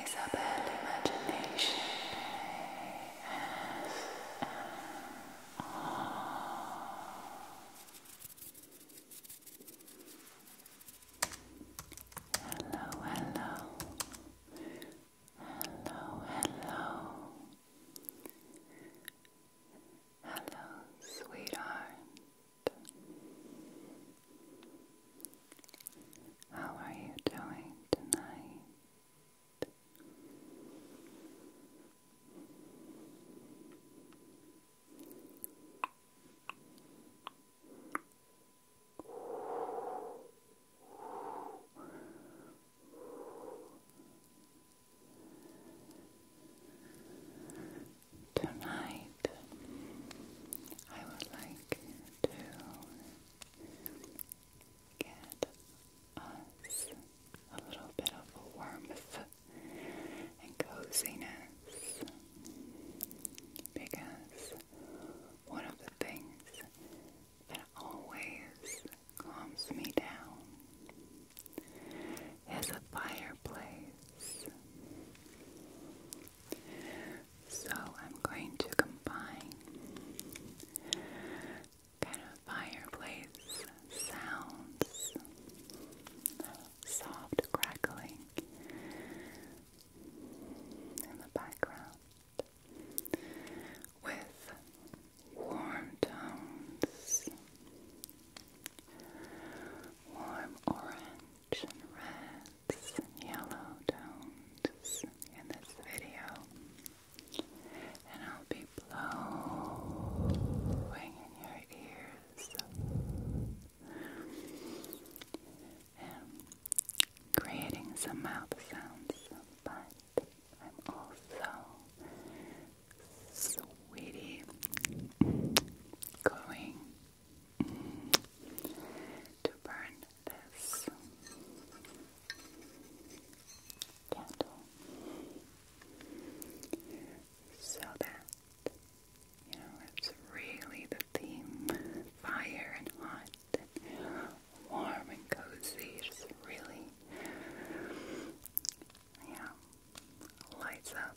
Isabel Imagination Hello, hello. Hello, hello. Hello, sweetheart. How are you doing tonight? Tonight, I would like to get us a little bit of warmth and coziness because one of the things that always calms me down is a fireplace. So I'm going to combine kind of fireplace sounds, soft crackling in the background with warm tones, warm orange and reds and yellow tones in this video and I'll be blowing in your ears and creating some mouth sounds but I'm also sweetie going to burn this candle so that you know it's really the theme fire and hot warm and cozy just really yeah lights up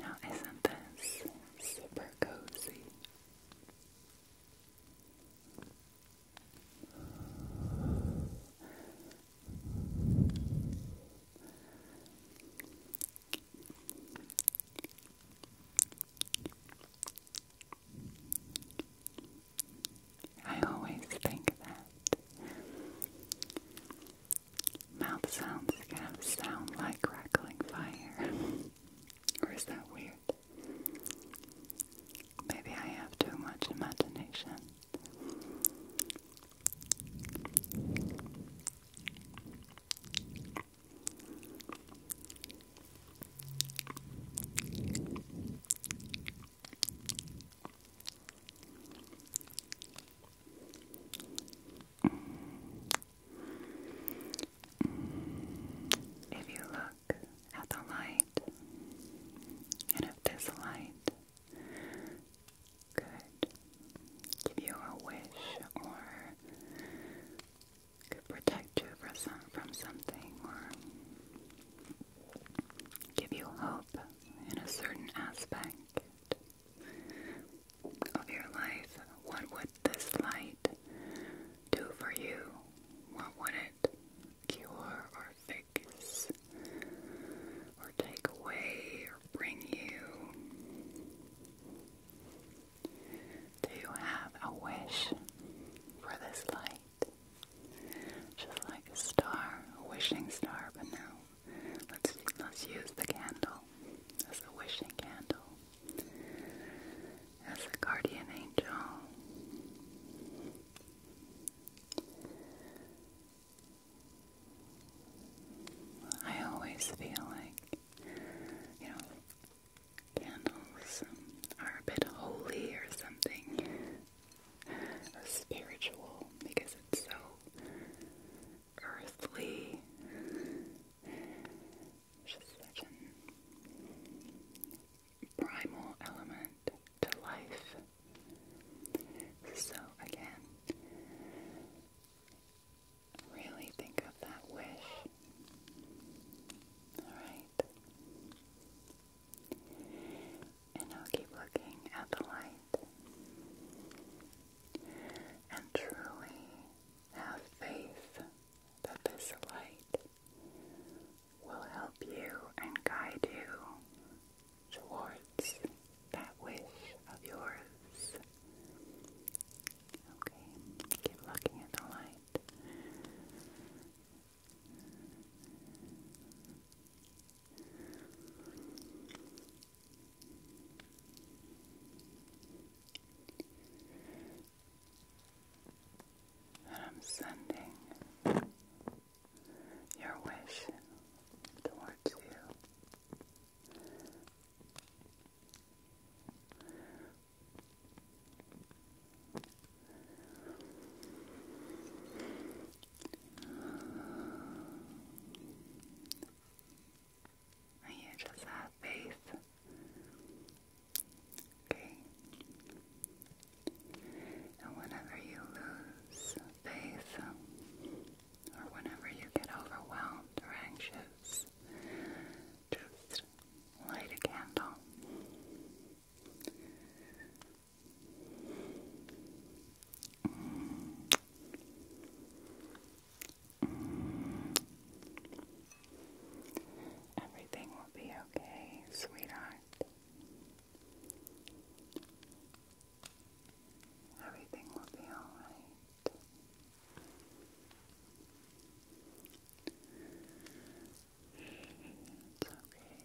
Now, isn't this super cozy? I always think that mouth sounds kind of sound like crackling fire. or is that weird? Maybe I have too much imagination. If you look at the light, and if this light could give you a wish or could protect you from, from something or give you hope in a certain aspect of your life. What would this light do for you? What would it cure or fix? or take away or bring you? Do you have a wish for this light? Just like a star, a wishing star, but now, Let's let's use the candle as a wishing candle. As a guardian angel. I always feel like, you know, candles are a bit holy or something, spiritual, because it's so earthly. Just such an primal element to life. So, again, really think of that wish. Alright. And now keep looking at the light. And truly have faith that this light will help you and guide you towards that wish of yours. Okay, keep looking at the light. And I'm sending your wish towards you. You just have faith. Okay. And whenever you lose face, um, or whenever you get overwhelmed or anxious, just light a candle. Everything will be okay, sweetheart. Everything will be alright. It's okay.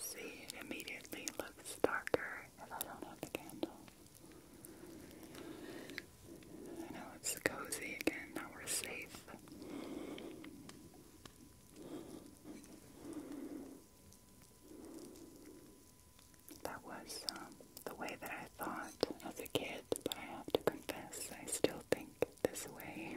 See, it immediately looks darker if I don't have the candle. I know it's cozy again, now we're safe. That was um, the way that I thought of a kid, but I have to confess, I still think this way.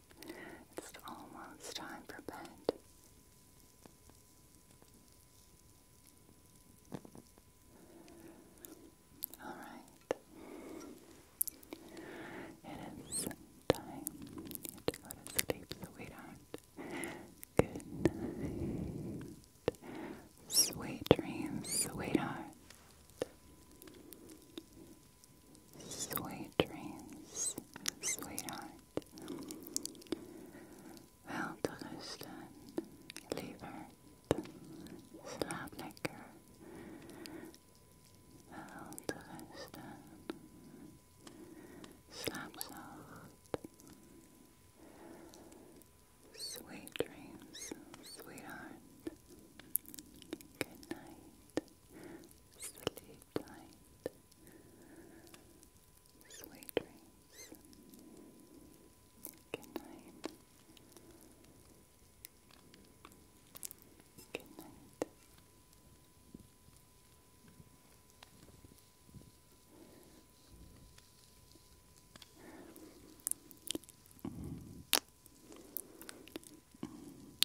it's almost time for bed. All right. It is time to go to sleep, sweetheart. Good Sweet dreams, sweetheart. Sweet dreams, sweetheart. Well, Dulleston, Liebert, Slavnicker. Well, Dulleston, Slapsoft. Sweet dreams, sweetheart. Good night. Sleep tight. Sweet dreams. Good night. Good night.